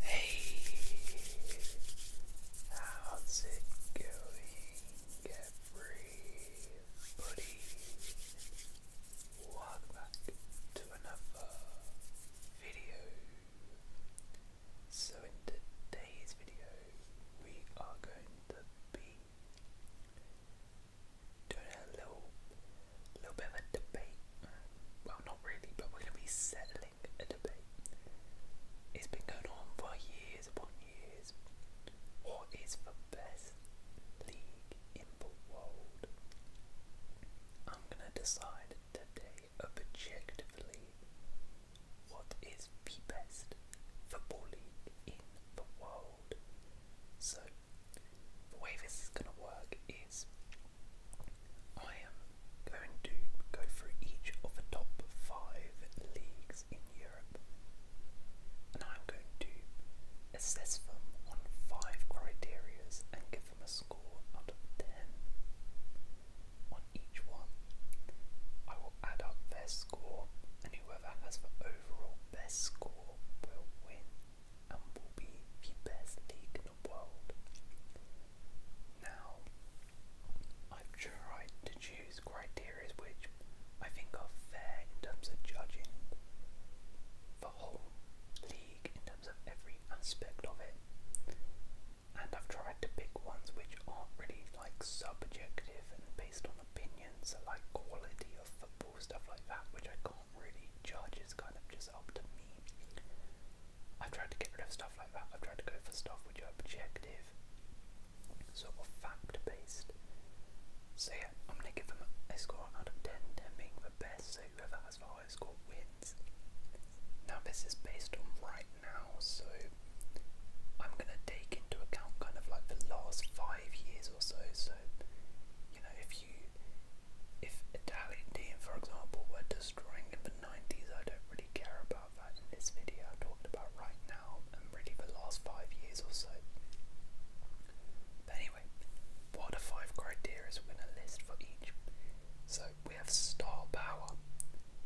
Hey, how's it going, everybody? Welcome back to another video. So, in today's video, we are going to be doing a little, little bit of a debate. Well, not really, but we're going to be settling it's been going on for years upon years. What is the best league in the world? I'm gonna decide today objectively what is the best football league in the world. So the way this is gonna work is I am going to go through each of the top five leagues in Europe and I'm going to assess them on five criterias and give them a score out of 10. On each one, I will add up their score and whoever has the overall best score will win and will be the best league world. Now, I've tried to choose criteria which I think are fair in terms of judging the whole league in terms of every aspect of it, and I've tried to pick ones which aren't really like subjective and based on opinions, like quality of football, stuff like that, which I can't really judge, Is kind of just is I've tried to get rid of stuff like that. I've tried to go for stuff which are objective, sort of fact based. So, yeah, I'm going to give them a score out of 10, 10 being the best, so whoever has the highest score wins. Now, this is based on right now, so I'm going to take into account kind of like the last five years or so. So, you know, if you, if Italian team, for example, were destroying the 90s, I don't really care about that in this video. I'm talking about right now and really the last five years or so. anyway, what are five criteria we're going to list for each? So we have star power.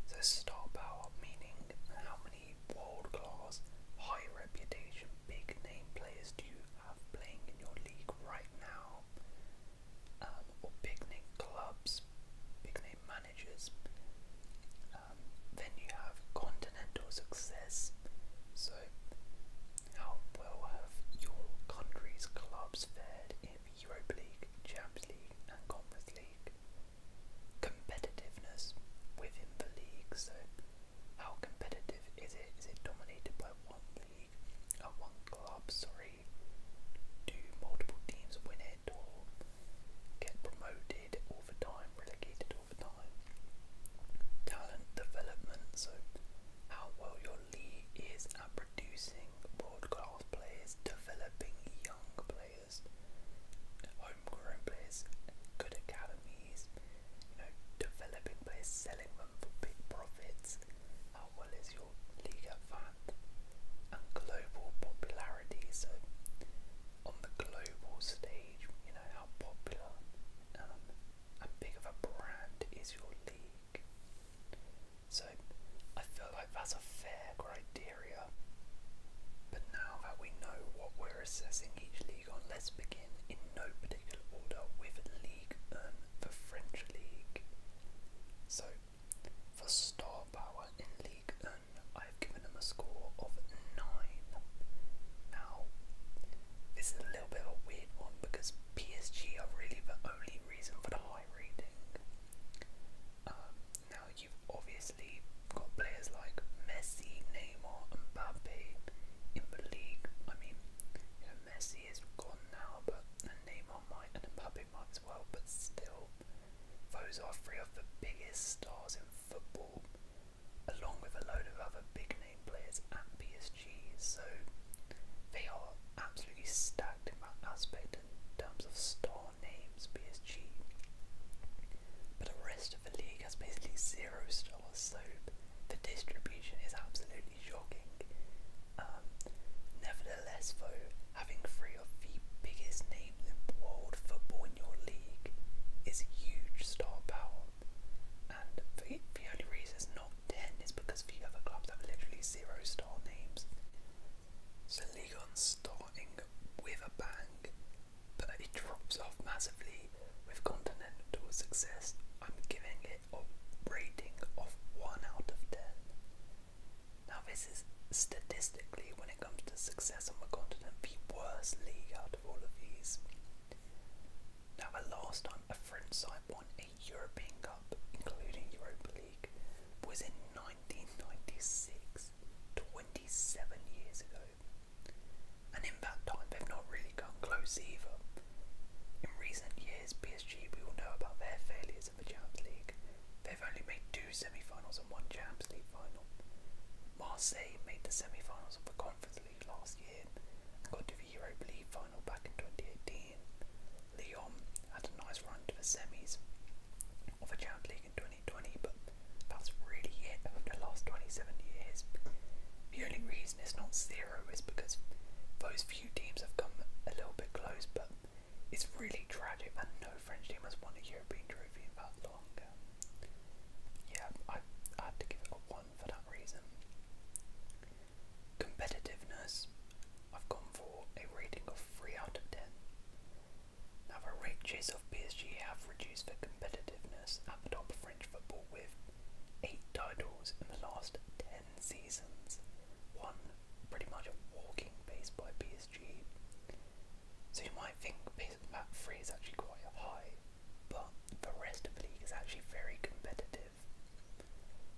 So star power meaning how many world class, high reputation, big name players do you have playing in your league right now? um, or big name clubs, big name managers. Um, then you have continental success. So, how well have your country's clubs fared in the Europa League, Champions League, and Conference League? Competitiveness within the league. So, how competitive is it? Is it dominated by one league, or uh, one club? Sorry category? Do multiple teams win it or get promoted over time, relegated over time? Talent development, so how well your league is at producing world class players, developing young players, homegrown players, good academies, you know, developing players, selling them for big profits. How how well is your Liga and global popularity. So on the global stage, you know how popular um, and big of a brand is your league. So I feel like that's a fair criteria. But now that we know what we're assessing each league on, let's begin in no particular order with League 1, the French League. So for star power in League Un, I've given him a score of 9. Now, this is a little bit of a weird one because PSG are really the only reason for the high rating. Um, now, you've obviously got players like Messi, Neymar, and Mbappe in the league. I mean, Messi is gone now, but Neymar might and Mbappe we might as well, but still, those are three of the biggest stars in football, along with a load of other big name players at PSG, so they are absolutely stacked in that aspect in terms of star names, PSG. But the rest of the league has basically zero stars, so the distribution is absolutely shocking. Um, nevertheless, though, having three of the biggest names in world football in your league is huge star power. And the, only reason it's not 10 is because the other clubs have literally zero star names. So Ligon's starting with a bang, but it drops off massively with continental success. I'm giving it a rating of 1 out of 10. Now, this is statistically, when it comes to success on the continent, the worst league out of all of these. Now, the last time a French side won a European Cup, including Europa League, was in 1996, 27 years ago. And in that time, they've not really come close either. In recent years, PSG, we all know about their failures in the Champions League, They've only made two semi-finals and one Champions League final. Marseille made the semi-finals of the Conference League last year and got to the Europa League final back in 2018. Lyon had a nice run to the semis of the Champions League in 2020, but that's really it over the last 27 years. The only reason it's not zero is because those few teams have come a little bit close, but it's really tragic that no French team has won a European trophy in that long. Um, yeah, I, I had to give it a 1 for that reason. Competitiveness, I've gone for a rating of 3 out of 10. Now the of PSG have reduced their competitiveness at the top of French football with 8 titles in the last 10 seasons, 1 pretty much a walking base by PSG. So you might think that three is actually quite high, but the rest of the league is actually very competitive.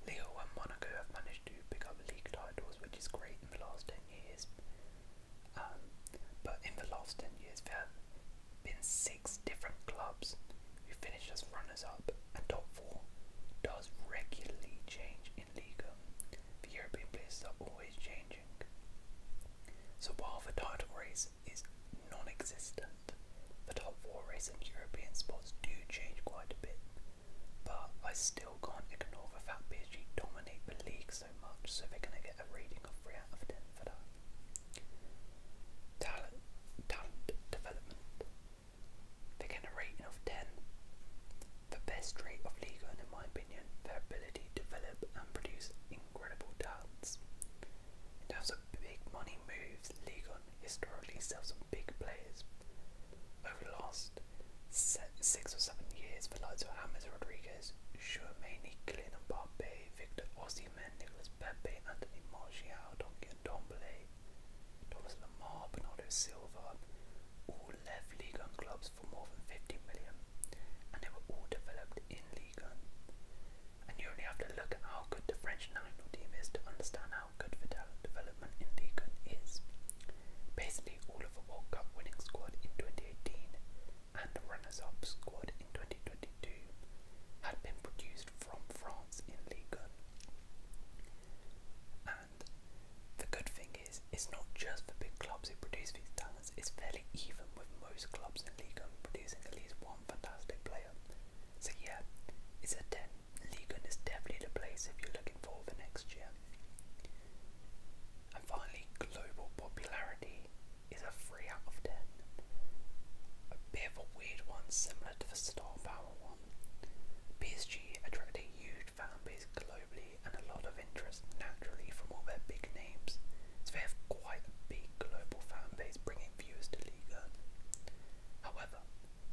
Leo and Monaco have managed to pick up league titles, which is great in the last 10 years. Um, but in the last 10 years, there have been six different clubs who finished as runners up, and top four does regularly change the European places are always changing. So while the title race is non existent, the top four race and European sports do change quite a bit, but I still can't ignore the fact that PSG dominate the league so much, so we are going to get a reading of 3 out of 10 for that. Talent, talent development. They get a rating of 10. The best trait of Liga, in my opinion, their ability to develop and produce incredible talents. In terms of big money moves, Ligon historically sells some big players. Over the last six or seven years, the likes of James Rodriguez, Chouameni, Kylian Mbappe, Victor Osimhen, Nicolas Pepe, Anthony Martial, Donkey and Dombele, Thomas Lamar, Bernardo Silva, all left League One for more than 50 million, and they were all developed in League One. And you only have to look at how good the French national team is to understand how good the development in League One is. Basically, all of the World Cup winning squad in 2018 and the runners up squad in 2022 had been produced from France in Ligue 1. And the good thing is, it's not just the big clubs who produce these talents, it's fairly even with most clubs in Liga producing at least one fantastic player. So, yeah, it's a 10. Liga is definitely the place if you're looking for the next year. And finally, global popularity is a 3 out of 10. A bit of a weird one, similar to the star power one. PSG attracted a huge fan base globally and a lot of interest naturally from all their big names. So they have quite a big global fan base bringing viewers to Liga. However,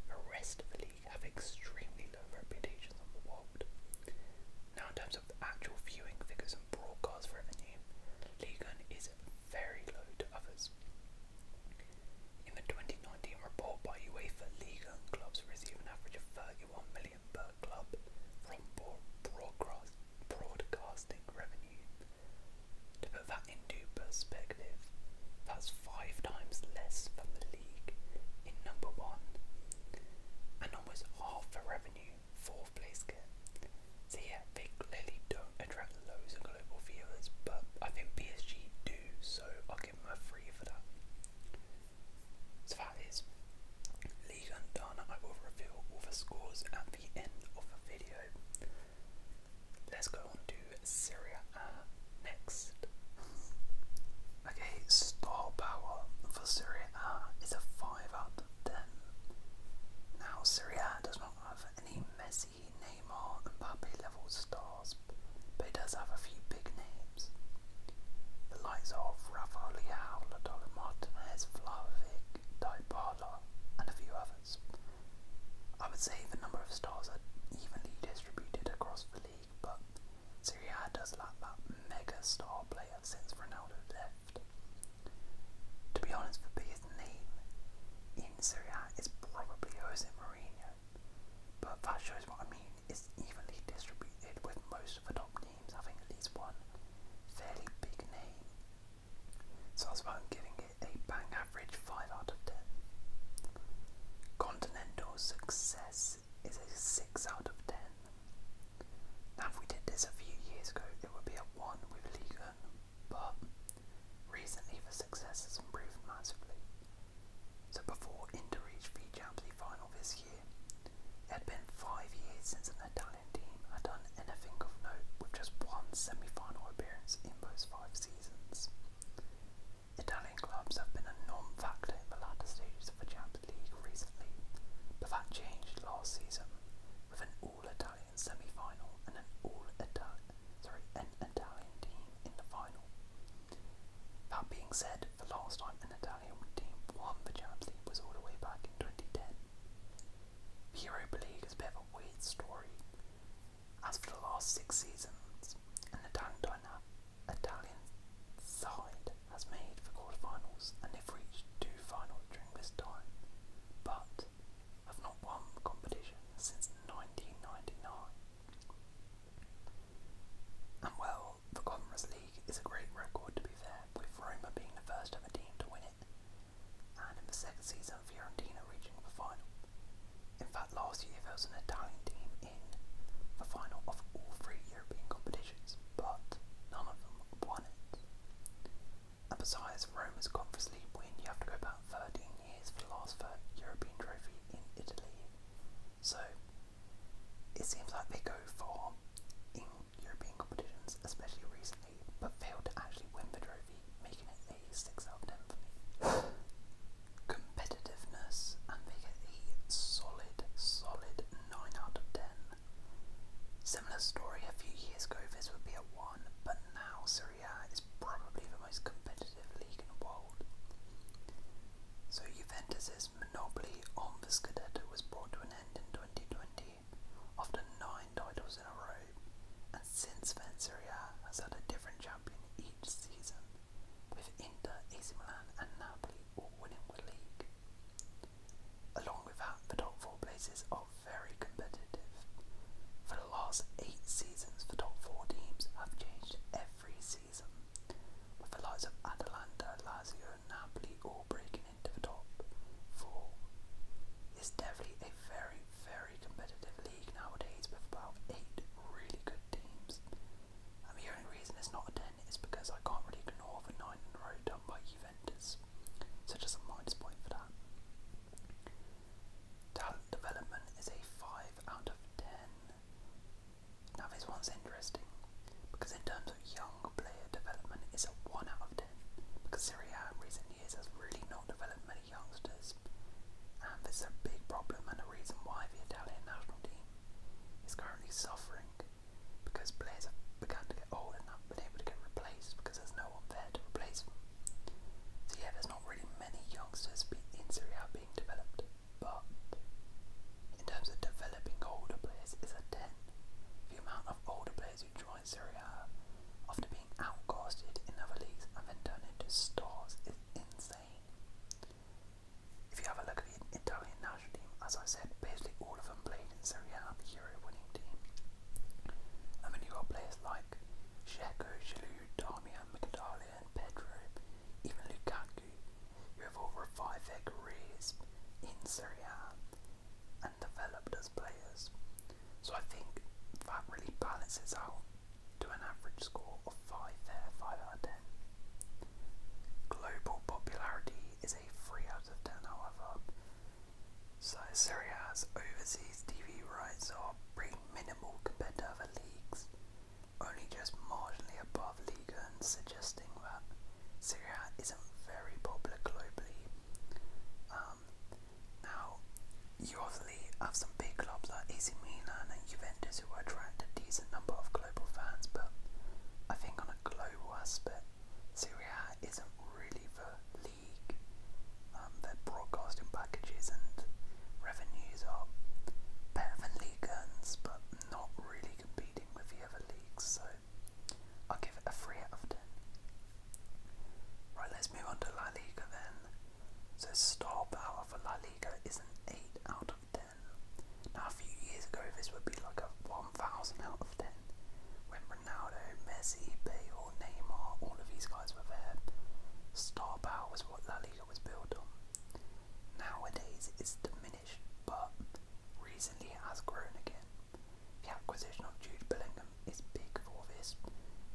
the rest of the league have extremely low reputations on the world. Now in terms of the actual viewing figures and broadcast revenue, Liga is very low to others. In the 20 1919 report by UEFA Liga clubs receive an average of 31 million per club from broadcast, broadcasting revenue. To put that into perspective, that's five times less than the league in number one, and almost half the revenue fourth place So yeah, they clearly don't attract loads of global viewers, but I think PSG do, so so that is League Undone. I will reveal all the scores at the end of the video. Let's go on to Syria uh, next. Okay, Star Power for Syria uh, is a 5 out of 10. Now, Syria does not have any Messi, Neymar, and Mbappe level stars but it does have a few big names. The likes of Rafael Leao, Lautaro Martinez, Vlahovic, Dybala, and a few others. I would say the number of stars are evenly distributed across the league, but Serie does lack that mega star player since Ronaldo left. To be honest, the biggest name in Syria is probably Jose Mourinho, but that shows what I mean, it's evenly distributed with most of the top names having at least one fairly big name. So that's why I'm giving it a bang average 5 out of 10. Continental success is a 6 out of 10. Now if we did this a few years ago it would be a 1 with Ligon, but recently the success has improved massively. So before Inter reached the Champions League final this year, it had been five years since an Italian team had done anything of note with just one semi-final appearance in those five seasons. Italian clubs have been a non-factor in the latter stages of the Champions League recently, but that changed last season with an all-Italian semi-final and an all Italian team in the final. That being said, the last time an Italian team won the Champions League was all the way back in 2010. The Europa League is a bit of a weird story, as for the last six seasons, an Italian, Italian side has made the quarterfinals and they've reached two finals during this time, but have not won the competition since 1999 well, the Conference League is a great record to be fair, with Roma being the first ever team to win it, and in the second season Fiorentina reaching the final. In fact, last year there was an Italian team in the final of all three European competitions, but none of them won it. And besides Roma's Conference League win, you have to go back 13 years for the last European trophy in Italy, so it seems like they go for in European competitions, especially recently, but fail to actually win the trophy, making it a 6 out of 10 for me. Competitiveness, and they get a solid, solid 9 out of 10. Similar story a few years ago, this would be a 1, but now Serie is probably the most competitive league in the world. So Juventus' is. China's monopoly on the Scudetto was brought to an end in 2020 after nine titles in a row, and since then Serie has had a different champion each season, with Inter, AC Milan and Napoli all winning the league. Along with that, the top four places are very competitive. For the last eight seasons, the top four teams have changed every free season, with the likes of Atalanta, Lazio and Napoli all breaking into the top four. It's definitely a very, very competitive league nowadays with about eight really good teams. the only reason it's not a 10 is because I can't really ignore the 9 in a row done by Juventus. So just a minus point for that. Talent development is a 5 out of 10. Now this one's interesting because in terms of young player development it's a 1 out of 10 because Serie A in recent years has really not developed many youngsters and this is a big problem and a reason why the Italian national team is currently suffering because players have begun to get old and not been able to get replaced because there's no one there to replace them. So yeah, there's not really many youngsters in Serie A being developed. But in terms of developing older players, it's a 10. The amount of older players who join Serie A after being outcasted in other leagues and then turned into stars is insane. If you have a look at the Italian national team, as I said, basically all of them played in Serie A, the Euro winning team. I mean, you've got players like Sheko, Giroud, Damian, and Pedro, even Lukaku, who have over five their in Serie and developed as players. So I think that really balances out to an average score of 5 there, 5 out of 10. Global popularity is a 3 out of 10 however, so Serie overseas TV rights are pretty minimal compared to other leagues, only just marginally above league suggesting that Syria isn't very popular globally. Um, now, you obviously have some big clubs like AC Milan and Juventus who attract a decent number of global fans, but I think on a global aspect, Syria isn't really the league. Um, their broadcasting packages and revenues are better than league but not really competing with the other leagues, so I'll give it a 3 out of 10. Right, let's move on to La Liga then. So, star power for La Liga is an 8 out of 10. Now, a few years ago, this would be like a 1000 out of 10 when Ronaldo, Messi, Bale, Neymar, all of these guys were there. Star power was what La Liga was built on. Nowadays it's diminished, but recently it has grown again. The acquisition of Jude Bellingham is big for this,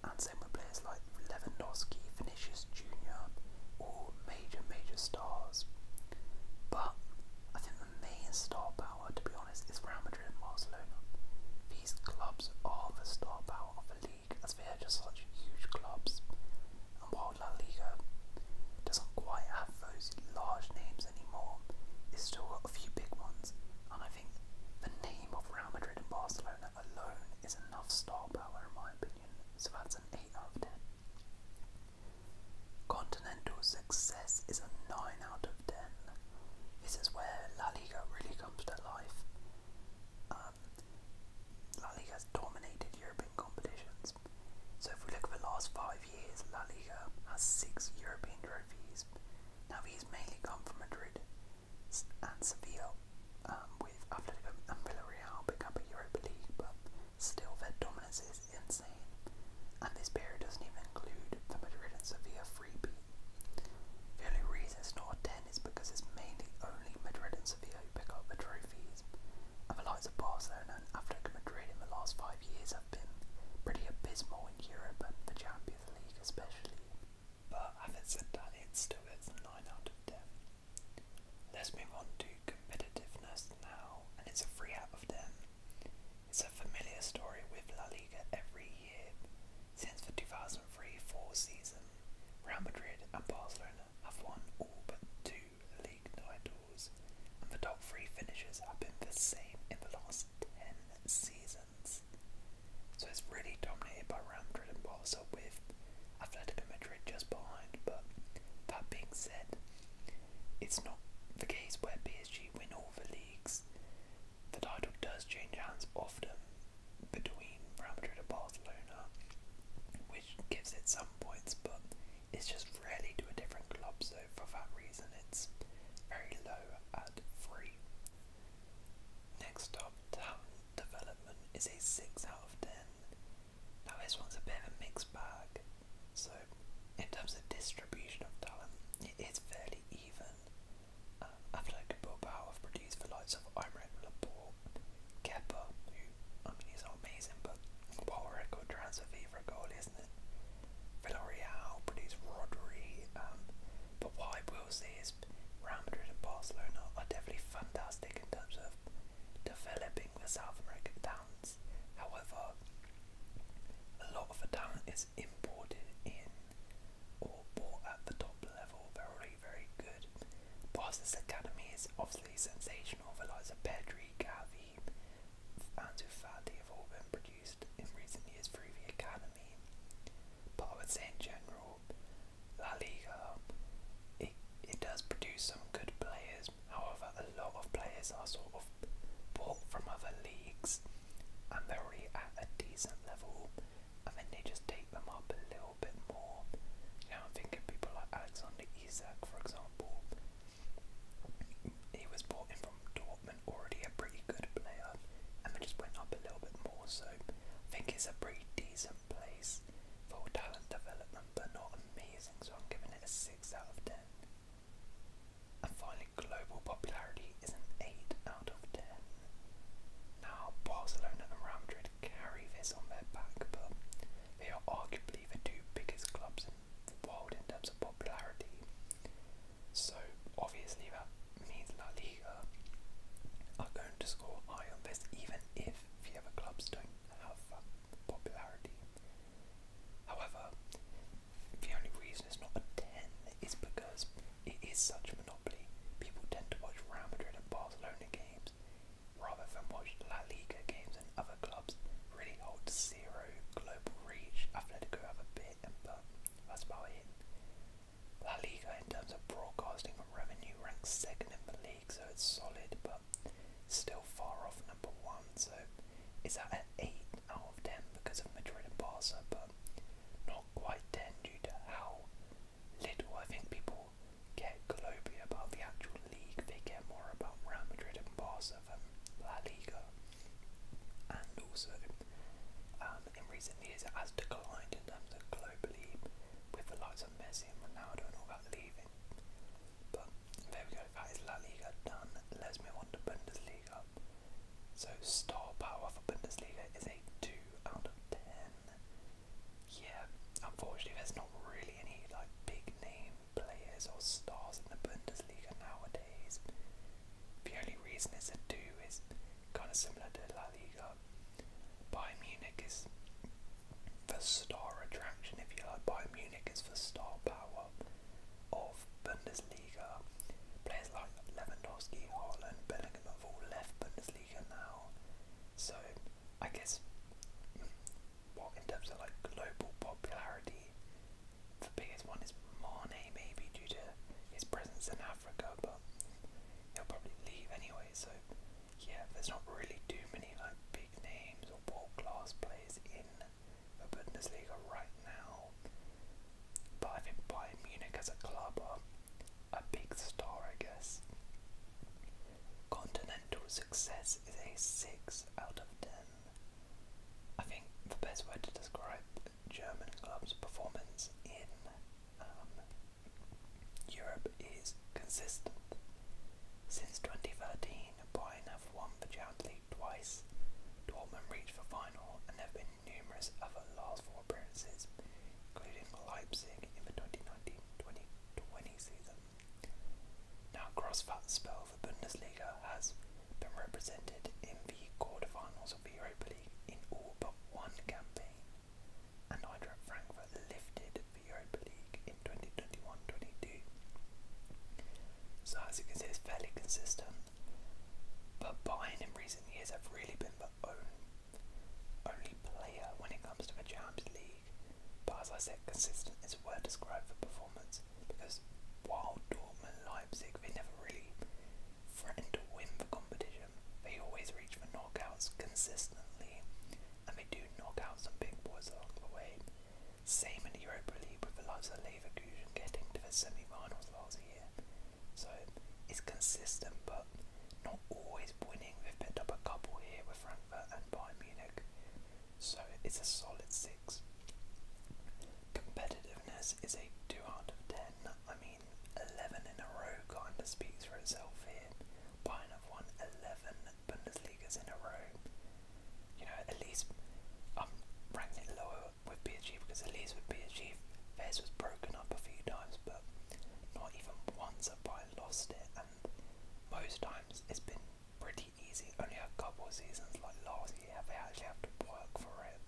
and same with players like Lewandowski, Vinicius Jr., all major, major stars. But I think the main star power, to be honest, is Real Madrid and Barcelona. These clubs are the star power of the league, as they are just such huge clubs. And while La Liga doesn't quite have those large names anymore, it's still a few big ones. And I think the name of Real Madrid and Barcelona alone is enough star power, in my opinion. So that's an 8 out of 10. Continental success is a 9 out of 10. This is where La Liga really comes to life. Um, La Liga has dominated European competitions so if we look at the last five years, La Liga has six European trophies. Now these mainly come from Madrid and Sevilla, after um, with Atletico and Villarreal picking up a Europa League, but still their dominance is insane. And this pair doesn't even include the Madrid and Sevilla freebie. The only reason it's not a 10 is because it's mainly only Madrid and Sevilla who pick up the trophies. And the likes and Atletico Madrid in the last five years have been pretty abysmal in Europe and the Champions League especially. But having said that, it still out of 10. Let's move on to competitiveness now, and it's a 3 out of 10. It's a familiar story with La Liga every year since the 2003 4 season. Real Madrid and Barcelona have won all but two league titles, and the top three finishes have been the same in the last 10 seasons. So it's really dominated by Real Madrid and Barca with Atletico Madrid just behind, but that being said, it's not the case where PSG win all the leagues. The title does change hands often between Real Madrid and Barcelona, which gives it some points, but it's just rarely to a different club, so for that reason it's very low at 3. Next up, Talent Development is a 6 out of 10. Now this one's a bit of a mixed bag, so in terms of distribution of talent, it is fairly even. Um, Athletic Bilbao have produced the likes of Imre Laporte, Kepa, who, I mean, he's amazing, but Paul Ricoh-Tran's a goal, isn't it? Villarreal produced Rodri, um, but what I will say is Real Madrid and Barcelona are definitely fantastic in terms of developing the South American talents. However, a lot of the talent is imported in or bought at the top level. they very good. Barca's academy is obviously sensational. The likes Pedri, Gavi, Lee and Ufadi have all been produced in recent years through the academy. But I would say in general, La Liga, it, it does produce some good players. However, a lot of players are sort of bought from other leagues and they're already at a decent level and then they just take them up a little bit more. You know, I'm thinking people like Alexander Isak, for example, he was brought in from Dortmund, already a pretty good player, and just went up a little bit more. So I think it's a pretty decent place for talent development, but not amazing. So I'm giving it a six out of ten. And finally, global popularity is an eight out of ten. Now Barcelona and Real Madrid carry this on their back, but they are arguably the two biggest clubs world in terms of popularity. So obviously that means La Liga are going to score high on this even if the other clubs don't have popularity. However, the only reason it's not a 10 is because it is such a monopoly. People tend to watch Real Madrid and Barcelona games rather than watch La Liga games and other clubs really hold zero global reach. Atletico have a bit, but that's about it. La Liga, in terms of broadcasting revenue, ranks second in the league, so it's solid, but still far off number one. So it's at an 8 out of 10 because of Madrid and Barca, but not quite 10 due to how little I think people get globally about the actual league, they care more about Real Madrid and Barca than La Liga. And also, um, in recent years, has declined in terms of globally, with the likes of Messi and Ronaldo and all that leaving. But there we go, that is La Liga done. Let's move on to Bundesliga. So, star power for Bundesliga is a 2 out of 10. Yeah, unfortunately, there's not really any like big name players or stars in the Bundesliga nowadays. The only reason it's a two is kind of similar to La Liga. Bayern Munich is the star attraction, if you like. Bayern Munich is the star power of Bundesliga. Players like Lewandowski, Haaland, Bellingham have all left Bundesliga now. So I guess what in terms of like global popularity, the biggest one is Mane maybe due to his presence in Africa, but he'll probably leave anyway. So yeah, there's not really too many like big names or world class players in the Bundesliga right now. But I think Bayern Munich as a club are a big star, I guess. Continental success is a 6 out of 10. I think the best way to describe German club's performance in um, Europe is consistent. Since 2013, Bayern have won the Champions League twice, Dortmund reached the final, and there have been numerous other last four appearances, including Leipzig in the 2019-2020 season. Now, Grossfat's spell for Bundesliga has been represented in the quarterfinals of the Europa League in all but one campaign, and Eintracht Frankfurt lifted the Europa League in 2021-22. So as you can see, it's fairly consistent, but Bayern in recent years have really been the own, only player when it comes to the Champions League league. But as I said, consistent is a word described for performance because while Dortmund Leipzig they never really threatened to win the competition, they always reach for knockouts consistently and they do knock out some big boys along the way. Same in the Europa League with the likes of Leverkusen getting to the semi-finals last year. So it's consistent but not always winning. They've picked up a couple here with Frankfurt and Bayern Munich, so it's a solid 6. Competitiveness is a 2 out of 10. I mean, 11 in a row kind of speaks for itself here. Bayern have won 11 Bundesligas in a row. You know, at least um, am ranking it lower with PSG because at least with PSG, theirs was broken up a few times, but not even once have Bayern lost it, and most times it's been pretty easy. Only a couple of seasons like last year they actually have to work for it.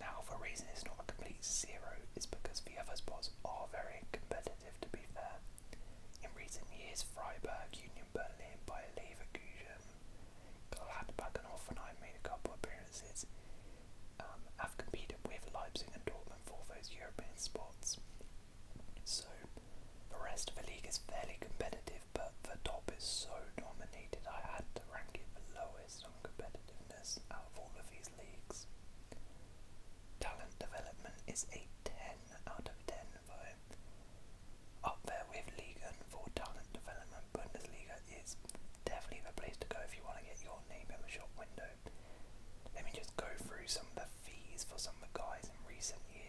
Now the reason it's not a complete zero is because the other spots are very competitive to be fair. In recent years Freiburg, Union Berlin, Bayer Leverkusen, Gladbach and Hoffenheim made a couple appearances, um, have competed with Leipzig and Dortmund for those European spots. So the rest of the league is fairly competitive, but the top is so dominated I had to rank it the lowest on competitiveness out of all of these leagues. Talent development is a 10 out of 10 though. Up there with Liga for talent development, Bundesliga is definitely the place to go if you want to get your name in the shop window. Let me just go through some of the fees for some of the guys in recent years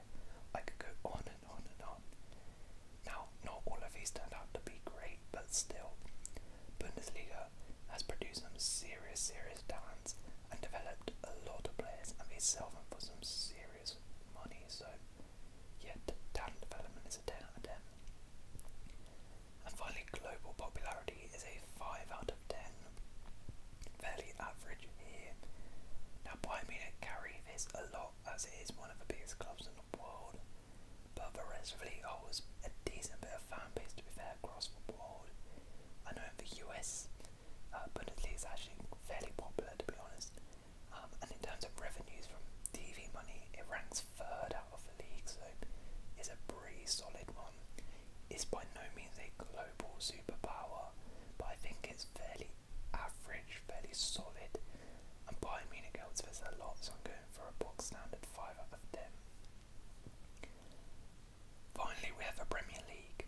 there. I could go on and on and on. Now, not all of these turned out to be great, but still, Bundesliga has produced some serious, serious talents and developed a lot of players, and they sell them for some serious money. So, yeah, talent development is a 10 out of 10. And finally, global popularity is a 5 out of 10 fairly average here. Now, Bayern Munich carry this a lot as it is one of the biggest clubs in the world, but the rest of the league holds a decent bit of fan base to be fair across the world. I know in the US, uh, Bundesliga is actually fairly popular to be honest, um, and in terms of revenues from TV money, it ranks third out of the league, so it's a pretty solid one. It's by no means a global superpower, are, but I think it's fairly average, fairly solid. And Bayern Munich outfits a lot, so I'm going for a box standard 5 out of 10. Finally, we have a Premier League.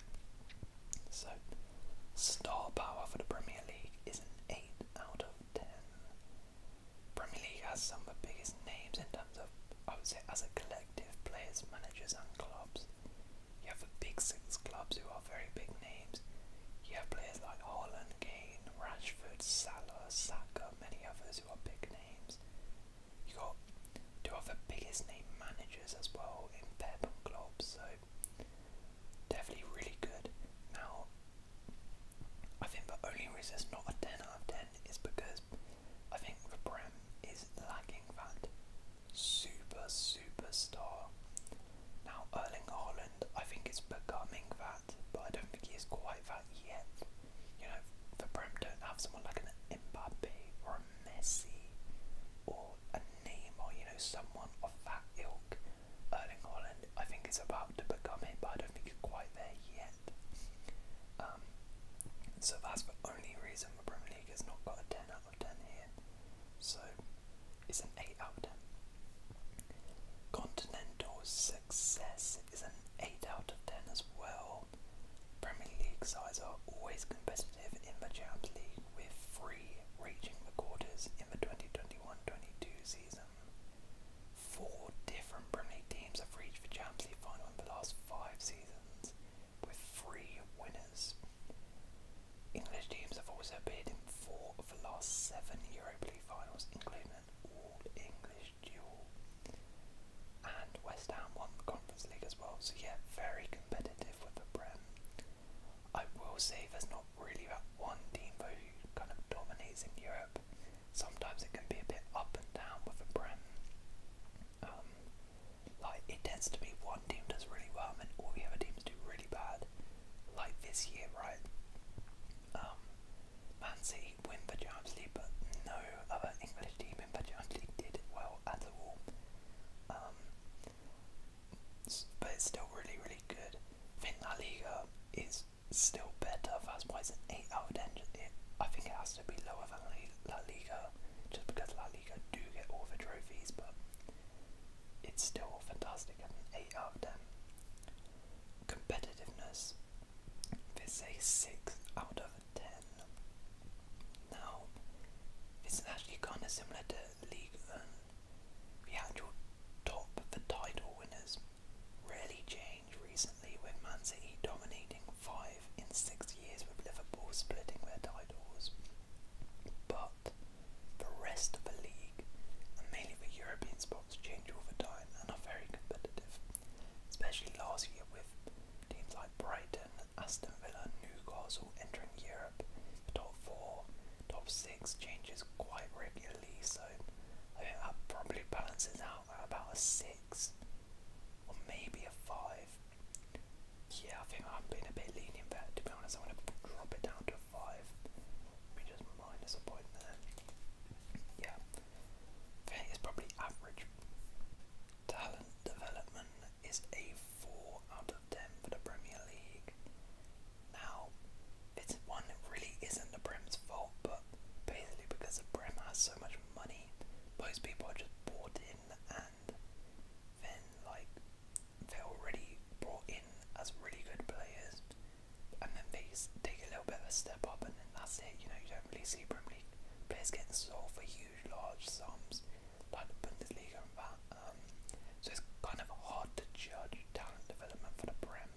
So, star power for the Premier League is an 8 out of 10. Premier League has some of the biggest names in terms of, I would say, as a collective, players, managers, and clubs. You have the big six clubs who are very big names. You have players like Haaland, Kane, Rashford, Salah, Saka, many others who are big names. You got two of the biggest name managers as well in Pep and Klopp, so definitely really good. Now, I think the only reason it's not a 10 out of 10 is because I think the Prem is lacking that super superstar. Now Erling Haaland, I think is becoming that, but I don't think he is quite that yet. You know, the Prem don't have someone like an Mbappe or a Messi or a Neymar, you know, someone of that ilk. Erling Haaland, I think is about to become it, but I don't think he's quite there yet. Um, so that's the only reason the Premier League has not got a 10 10 here, so it's an 8 out of 10. Continental success is an 8 out of 10 as well. Premier League sides are always competitive in the Champions League, with three reaching the quarters in the 2021-22 season. Four different Premier League teams have reached the Champions League final in the last five seasons with three winners. English teams have also appeared in four of the last seven Europa League finals, including an all English duel. And West Ham won the Conference League as well, so yeah, very competitive with the Brent. I will say there's not really that one team who kind of dominates in Europe. Sometimes it can be a bit up and down with the Brent like it tends to be one team does really well and all the other teams do really bad. Like this year, right? Um, Man City win the Champions League, but no other English team in Champions League did well at all. Um, but it's still really, really good. I think La Liga is still better. That's why it's an eight out of ten. I think it has to be lower than La Liga, just because La Liga do get all the trophies, but it's still fantastic. 8 out of them. Competitiveness, it's a 6 out of 10. Now, it's actually kind of similar to League One. The actual top, the title winners, rarely change recently with Man City dominating 5 in 6 years with Liverpool splitting their titles. But but the rest of the league, and mainly the European spots, change all the time and are very competitive, especially last year with teams like Brighton, Aston Villa, Newcastle entering Europe. The top four, top six changes quite regularly, so I think that probably balances out at about a six or maybe a five yeah, I think I'm being a bit lenient there, to be honest. I'm going to drop it down to a 5. We just minus a point there. Yeah. I think it's probably average. Talent development is a 4 out of 10 for the Premier League. Now, it's one really isn't the Prem's fault, but basically because the Prem has so much money, most people are just bought in and then like they're already brought in as really good players, and then they take a little bit of a step up, and then that's it. You know, you don't really see Premier League players getting sold for huge, large sums like the Bundesliga and that. Um, so it's kind of hard to judge talent development for the Prem.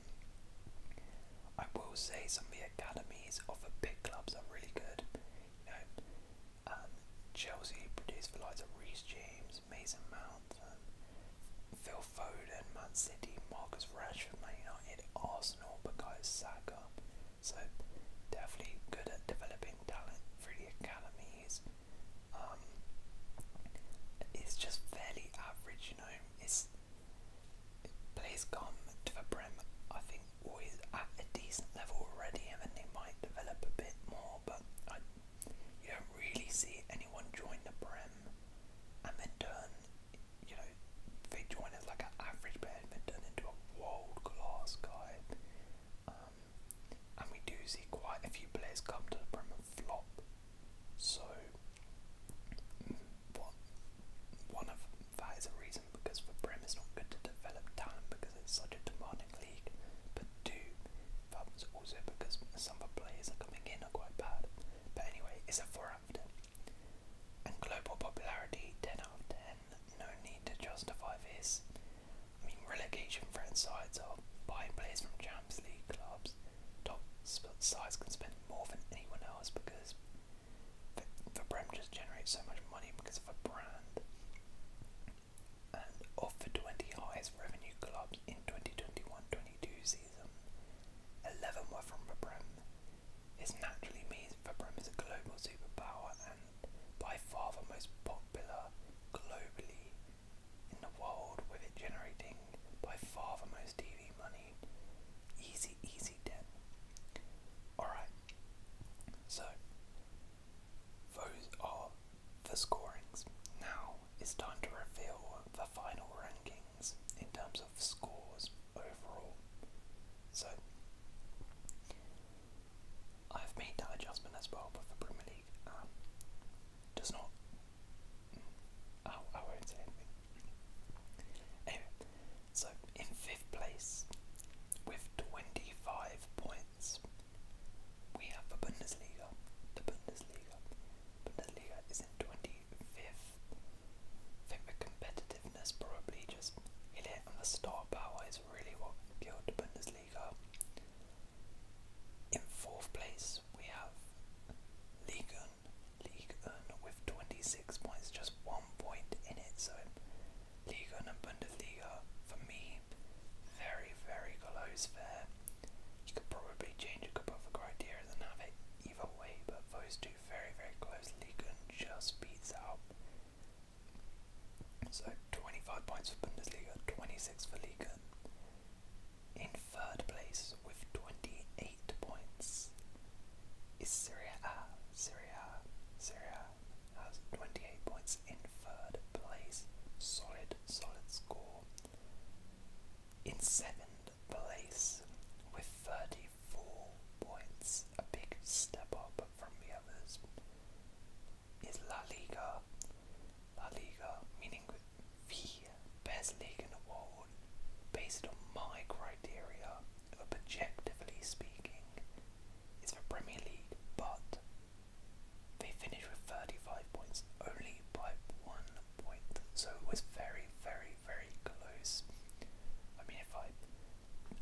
I will say some of the academies of the big clubs are really good. You know, um, Chelsea produced the likes of Reece James, Mason Mount, um, Phil Foden, Man City, Marcus Rashford, Man United, Arsenal, Bukayo Saka. So definitely good at developing talent through the academies. Um, it's just fairly average, you know. It's it come to the brim. I think, always at a decent level already, and then they might develop a bit more. But you don't really see anyone join the Prem and then turn, you know, they join as like an average player and turn into a world class guy. Um, and we do see quite a few players come to the Prem and flop. So, mm, One of that is a reason because the Prem is not good to develop talent because it's such a demanding league. But two, problems also because some of the players are coming in are quite bad. But anyway, it's a 4 after. And global popularity 10 out of 10. No need to justify this. I mean, relegation threat sides are buying players from Champions League clubs. Top sides can spend more than anyone else because the, the Prem just generates so much money because of a brand and of the 20 highest revenue clubs in 2021-22 season, 11 were from the Prem. This naturally means the is a global superpower and by far the most popular globally in the world with it generating by far the most TV money. Easy, easy debt. Alright, so those are the scorings. Now it's time to reveal the final rankings in terms of scores overall. So I've made that adjustment as well, but the Premier League um, does not. Mm, I, I won't say anything. so in fifth place with twenty five points we have the Bundesliga. The Bundesliga. is in twenty fifth. I the competitiveness probably just hit it and the star power is really what killed the Bundesliga. In fourth place we have Ligue 1, with 26 points, just one point in it. So Ligue and Bundesliga for me very, very close there. You could probably change a couple of the criteria and have it either way, but those two very, very closely can just beats out. So 25 points for Bundesliga, 26 for Liga. In third place with 28 points is Serie A, Serie has 28 points in third place. Solid, solid score. In seventh place with 34 points, a big step up from the others, is La Liga. La Liga, meaning the best league in the world, based on my criteria objectively speaking, is the Premier League, but they finished with 35 points, only by one point, so it was very, very, very close. I mean, if I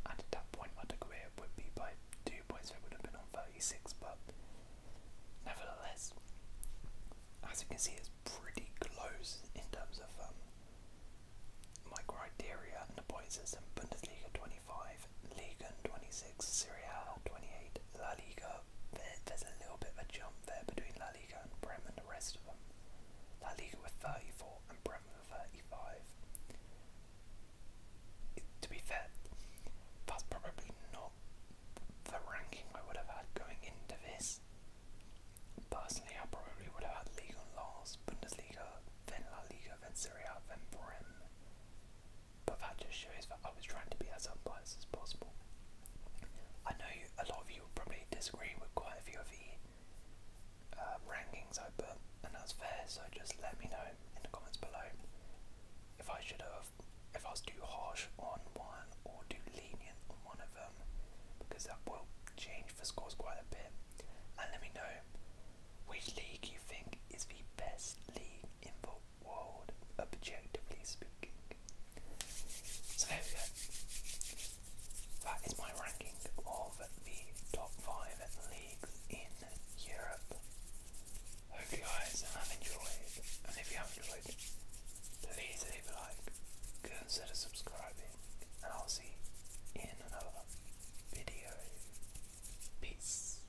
added that point, my career would be by two points, so it would have been on 36, but nevertheless, as you can see, it's pretty close in terms of um, my criteria and the point system. Bundesliga 25, Ligue 26, Serie A 28, La Liga. There's a little bit of a jump there between La Liga and Prem and the rest of them. La Liga with 34 and Prem with 35. to be fair, that's probably not the ranking I would have had going into this. Personally, I probably would have had Liga last, Bundesliga, then La Liga, then Serie A, then Prem. But that just shows that I was trying to be as unbiased as possible. I know a lot of you will probably disagree with quite a few of the uh, rankings I put, and that's fair. So just let me know in the comments below if I should have, if I was too harsh on one or too lenient on one of them, because that will change the scores quite a bit. And let me know which league you think is the best league in the world, objectively speaking. So there we go. That is my ranking of the top five leagues in Europe. Hope you guys have enjoyed, and if you have enjoyed, please leave a like, consider subscribing, and I'll see in another video. Peace.